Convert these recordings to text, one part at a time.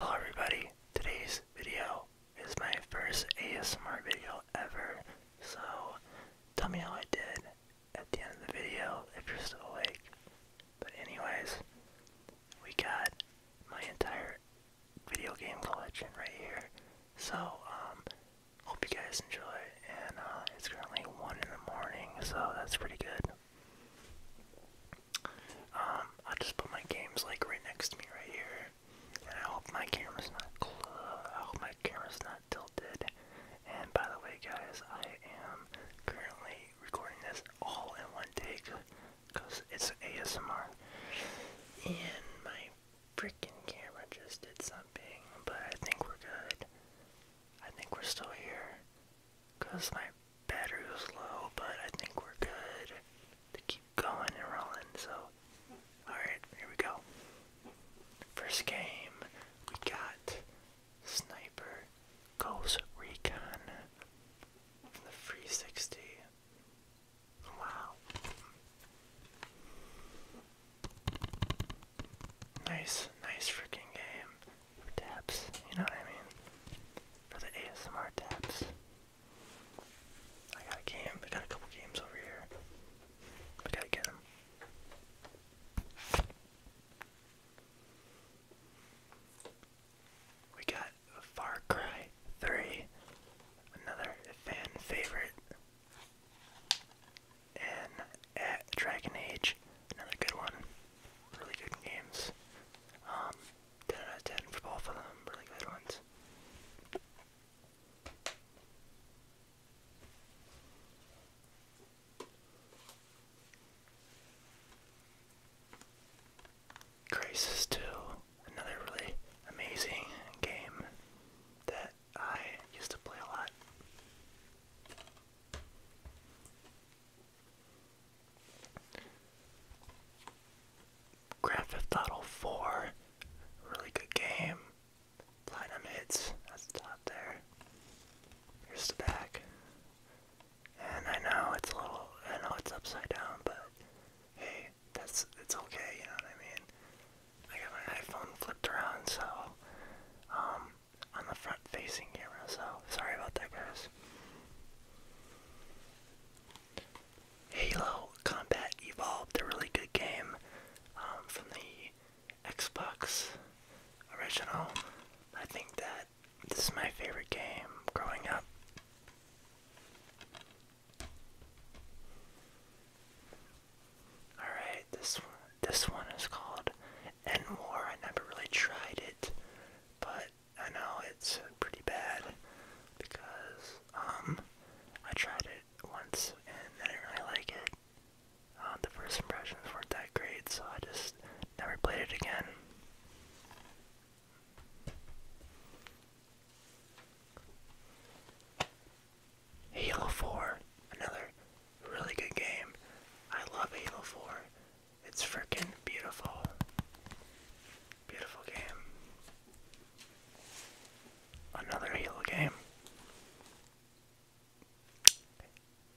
Hello everybody, today's video is my first ASMR video ever, so tell me how I did at the end of the video if you're still awake. But anyways, we got my entire video game collection right here, so um, hope you guys enjoy, and uh, it's currently 1 in the morning, so that's pretty good. Um, I just put my games like right next to me right here. And I hope my camera's not close. I hope my camera's not tilted. And by the way, guys, I am currently recording this all in one take because it's ASMR. And my freaking camera just did something, but I think we're good. I think we're still here. Because my battery was low, but I think we're good to keep going and rolling. So, alright, here we go. First game, we got Sniper Ghost Recon 360. Wow. Nice, nice freaking game for taps, you know what I mean? For the ASMR taps. I got a game, I got a couple games over here. I gotta get them. We got Far Cry 3, another fan favorite. And at Dragon Age, another good one. Really good games. Um, 10 out of 10 for both of them. Really good ones. Crisis 2, another really amazing game that I used to play a lot. Grand Theft Auto 4, really good game. Platinum hits, that's the top there. Here's the back. And I know it's a little, I know it's upside down, but hey, that's, it's okay, you know what I mean? I got my iPhone flipped around, so, um, on the facing camera, so sorry about that, guys. Halo Combat Evolved, a really good game um, from the Xbox original. I think that this is my favorite game growing up. Alright, this one, this one is called End War. I never really tried it, but I know it's pretty bad because um, I tried it once and I didn't really like it. Uh, the first impressions weren't that great, so I just never played it again. Halo 4, another really good game. I love Halo 4. It's freaking beautiful. Beautiful game. Another Halo game.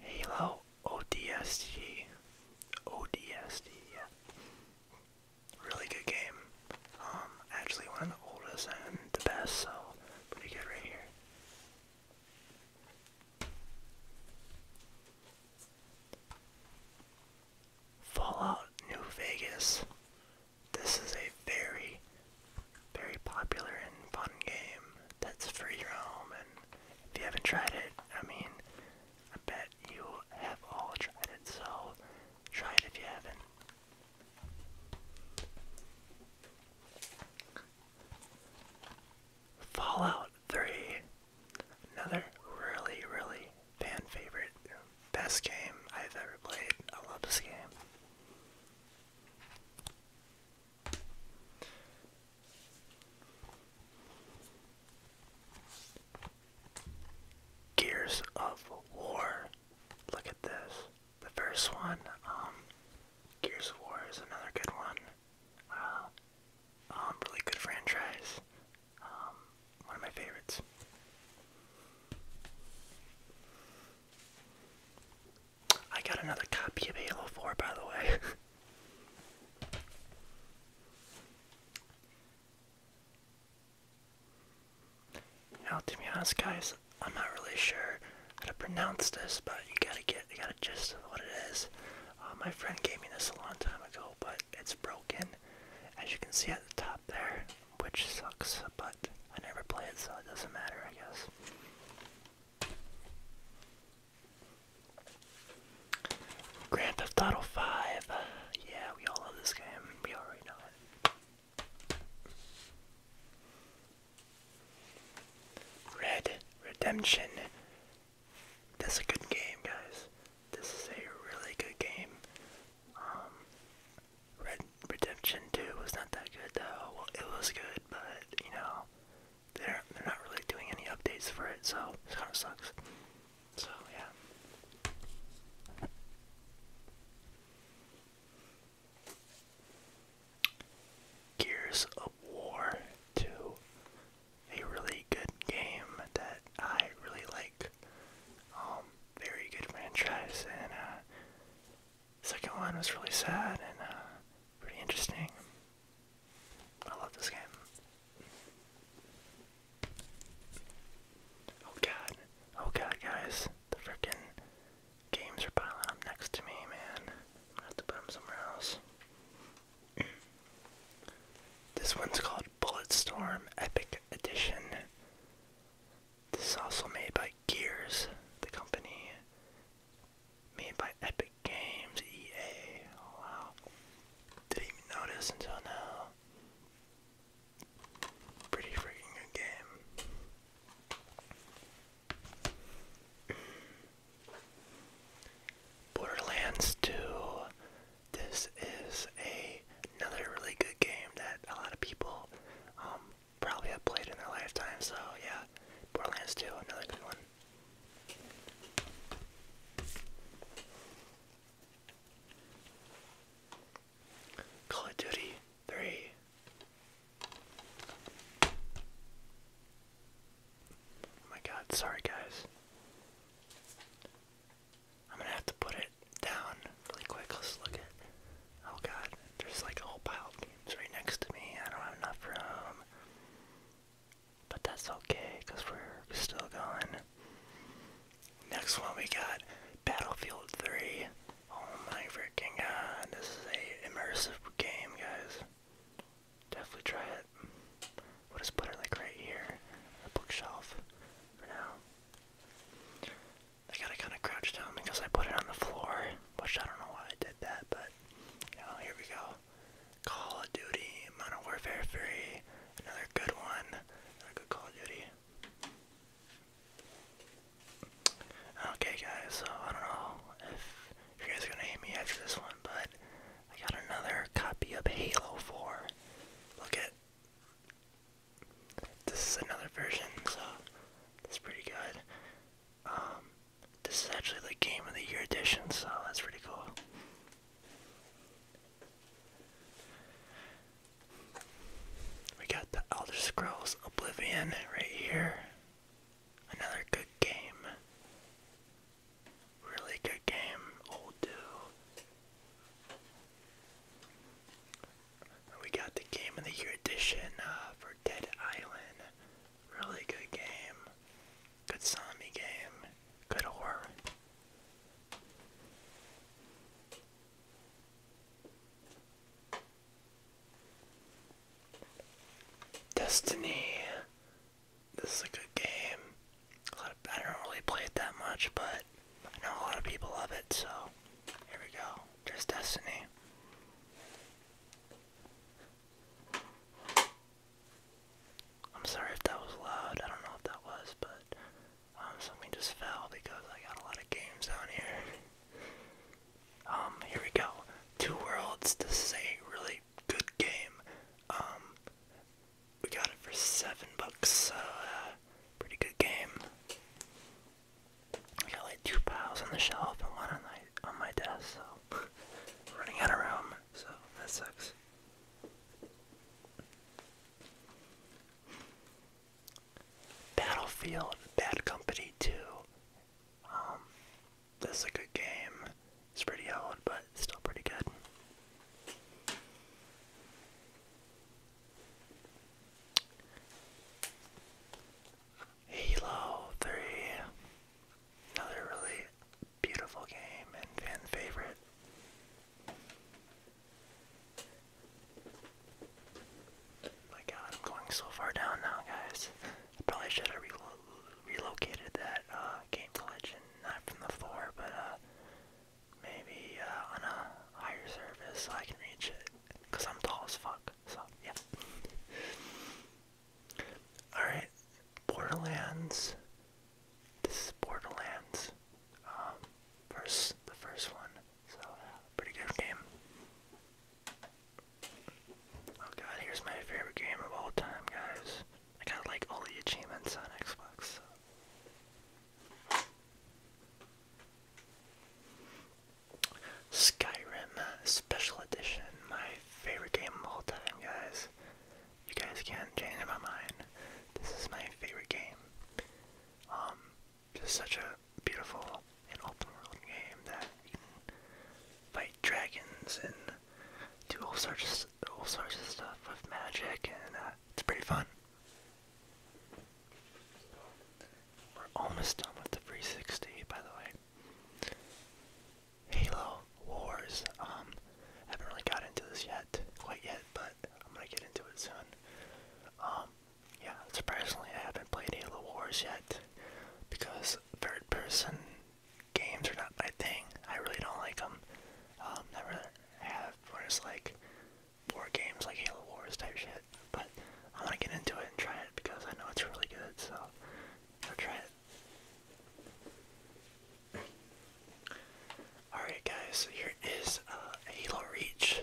Halo ODST. ODST, yeah. Really good game. Um, actually one of the oldest and the best, so pretty good right here. Fallout New Vegas. This is a very, very popular and fun game that's free roam, and if you haven't tried it, I mean, I bet you have all tried it, so try it if you haven't. Fallout 3. Another really, really fan favorite. Best game I've ever played. I love this game. Gears of War. Look at this. The first one, um, Gears of War is another good one. Uh, um, really good franchise. Um, one of my favorites. I got another copy of Halo 4, by the way. you to be honest, guys, I'm not really sure how to pronounce this, but you gotta get, you gotta gist of what it is. Uh, my friend gave me this a long time ago, but it's broken, as you can see at the top there, which sucks, but I never play it, so it doesn't matter, I guess. Grand Theft Auto 5. Yeah, we all love this game. We already know it. Red Redemption. This is a good game, guys. This is a really good game. Um, Red Redemption 2 was not that good, though. Well, it was good, but, you know, they're, they're not really doing any updates for it, so it kind of sucks. So, yeah. Gears of War 2. A really good game that I really like. Um, very good franchise, and uh, second one was really sad and uh, pretty interesting. I love this game. Oh god, oh god, guys, the frickin' Games are piling up next to me, man. I'm gonna have to put them somewhere else. this one's called Bulletstorm Epic Edition. This is also made by Gears, the company. Made by Epic Games, EA. Oh, wow. Didn't even notice until now. Pretty freaking game. Borderlands 2. This is a, another really good game that a lot of people um, probably have played in their lifetime. So yeah, Borderlands 2, another good one. Call of Duty 3. Oh my god, sorry guys. I'm gonna have to put it down really quick. Let's look at. Oh god, there's like a whole pile of games right next to me. I don't have enough room. But that's okay, because we're still going. Next one we got Battlefield 3. Oh my freaking god, this is a immersive game, guys. Definitely try it. We'll just put it like right here, on bookshelf, for now. I gotta kind of crouch down because I put it on the floor, which I don't know why I did that, but here we go. Call of Duty, Modern Warfare 3, another good one, another good Call of Duty. Okay, guys, so I don't know if you guys are gonna hate me after this one, but I got another copy of Halo 4. Look at this is another version, so that's pretty good. Um, this is actually the Game of the Year edition, so that's pretty cool. We got the Elder Scrolls Oblivion right here. Another good game. Really good game, old We got the Game of the Year edition uh, for Dead Island. Really good game. Good zombie game. Good horror. Destiny. This is a good game. I don't really play it that much, but I know a lot of people love it, so here we go. There's Destiny. I'm sorry if that was loud. I don't know if that was, but um, something just fell because I got a lot of games on here. Um, here we go. Two Worlds. This is a really good game. Um, we got it for seven bucks. So, uh, pretty good game. I got like two piles on the shelf and one on my on my desk. So, running out of room. So that sucks. Battlefield, Bad Company 2, um, this a good game. It's pretty old, but it's still pretty good. Halo 3. Another really beautiful game and fan favorite. My god, I'm going so far down now, guys. I probably should have relocated that uh, game collection, not from the floor, but uh, maybe uh, on a higher surface so I can reach it. Because I'm tall as fuck, so yeah. Alright, Borderlands. This is Borderlands. Um, first, the first one. So, pretty good game. Oh god, here's my favorite game of all time, guys. I got like all the achievements on Xbox. Skyrim Special Edition, my favorite game of all time, guys. You guys can't change my mind. This is my favorite game. Um, just such a beautiful and open world game that you can fight dragons and do all sorts of, all sorts of stuff with magic, and uh, it's pretty fun. We're almost done with the 360, by the way. Halo Wars. Um, haven't really got into this yet, quite yet, but I'm gonna get into it soon. Um, yeah, surprisingly I haven't played Halo Wars yet because third person games are not my thing. I really don't like them. Um, never have where it's like war games like Halo Wars type shit. But I want to get into it and try it because I know it's really good, so I'll try it. Alright guys, so here is uh, Halo Reach.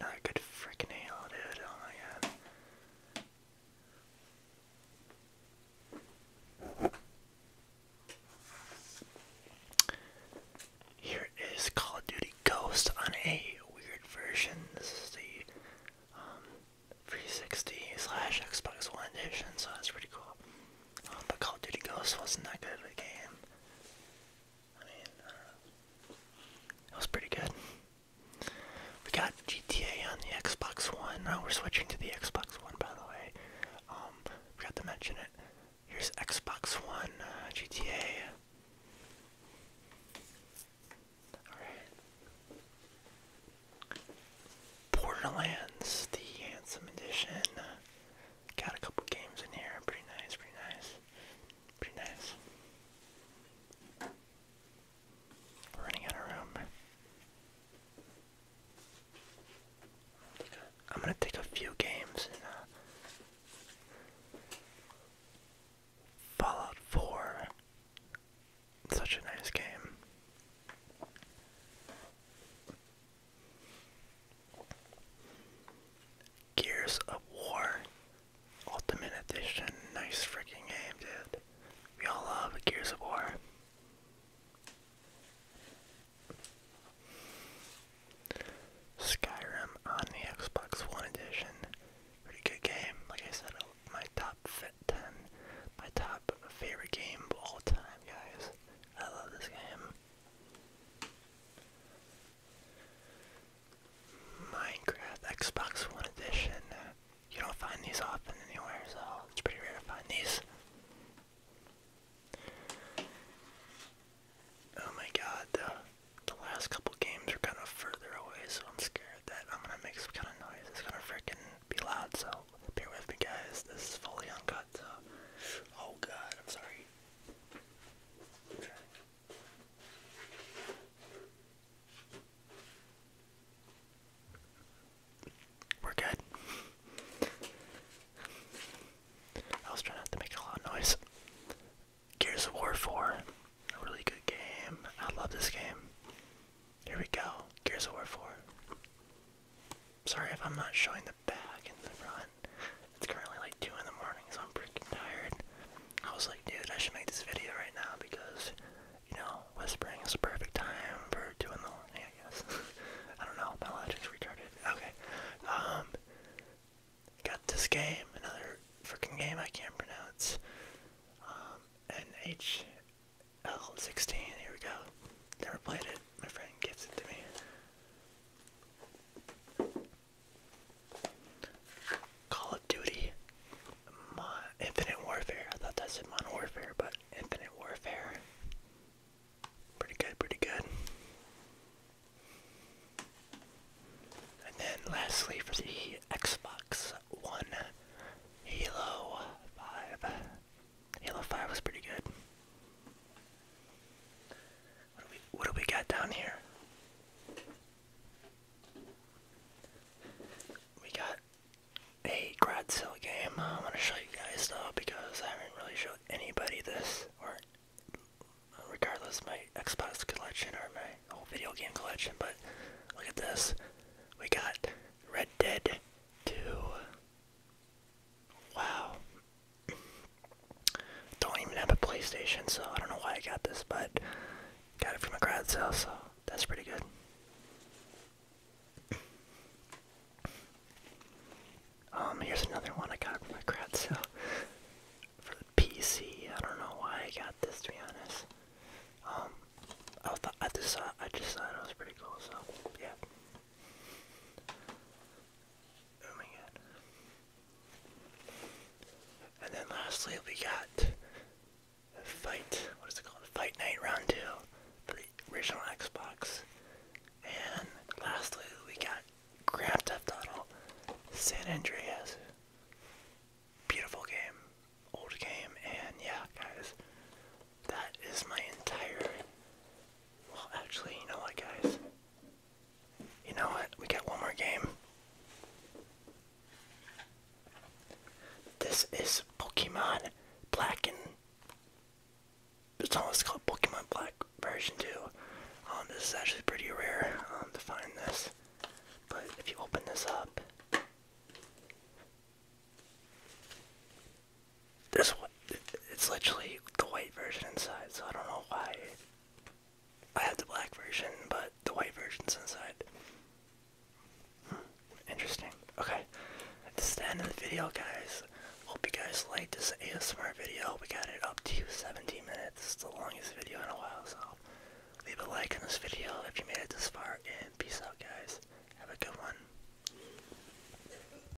Another good freaking hail, dude. Oh my god. Here is Call of Duty Ghost on a weird version. This is the um, 360 slash Xbox One edition, so that's pretty cool. Um, but Call of Duty Ghost wasn't that good of a game. I It was pretty good. We got GTA on the Xbox One. Now oh, we're switching to the Xbox One, by the way. Um, forgot to mention it. Here's Xbox One uh, GTA. Alright. Borderlands, the Handsome Edition. Got a couple games in here. Pretty nice, pretty nice. Pretty nice. We're running out of room. I'm gonna take a few games uh, Fallout 4. It's such a nice game. Gears of War Ultimate Edition. Nice freaking game, dude. We all love Gears of War. Skyrim on the Xbox One Edition. Pretty good game. Like I said, uh, my top 10, my top favorite game of all time, guys. I love this game. Minecraft Xbox One Edition. You don't find these often anywhere, so it's pretty rare to find these. Oh my god, the, last couple games are kind of further away, so I'm scared that I'm gonna make some kind of noise. It's gonna freaking be loud, so bear with me guys. This is fully uncut, Oh god, I'm sorry. We're good. I was trying not to make a lot of noise. Gears of War 4. A really good game. I love this game. Here we go. Gears of War 4. Sorry if I'm not showing the back and the front. It's currently like 2 in the morning, so I'm freaking tired. I was like, dude, I should make this video right now because, you know, whispering is the perfect time for 2 in the morning, I guess. I don't know, my logic's retarded. Okay. Um, got this game, another freaking game I can't pronounce. Um, NHL16, here we go. Never played it. My friend gives it to me. Call of Duty, Infinite Warfare. I thought that's said Modern Warfare, but Infinite Warfare. Pretty good, pretty good. And then lastly, for the Xbox One, Halo 5. Halo 5 was pretty good. What do we got down here? We got a Gradsill game. I want to show you guys though because I haven't really showed anybody this, or regardless my Xbox collection or my whole video game collection. But look at this. We got Red Dead 2. Wow. Don't even have a PlayStation, so I don't know why I got this, but got it from a grad sale, so that's pretty good. Um, here's another one I got from a crowd sale for the PC. I don't know why I got this, to be honest. Um, I thought I just thought I just thought it was pretty cool, so yeah. Oh my god. And then lastly we got a fight what is it called? Fight Night Round 2 for the original Xbox. And lastly we got Grand Theft Auto San Andreas. Beautiful game. Old game and yeah guys. That is my entire well actually you know what guys you know what? We got one more game. This is Pokemon Black and it's almost called Pokemon Black version 2. Um, this is actually pretty rare um, to find this. But if you open this up, this one, it's literally the white version inside, so I don't know why. I have the black version, but the white version's inside. Hmm, interesting. Okay, this is the end of the video, guys. Hope you guys liked this ASMR video. We got it up to 17 minutes. It's the longest video in a while, so leave a like on this video if you made it this far, and peace out, guys. Have a good one.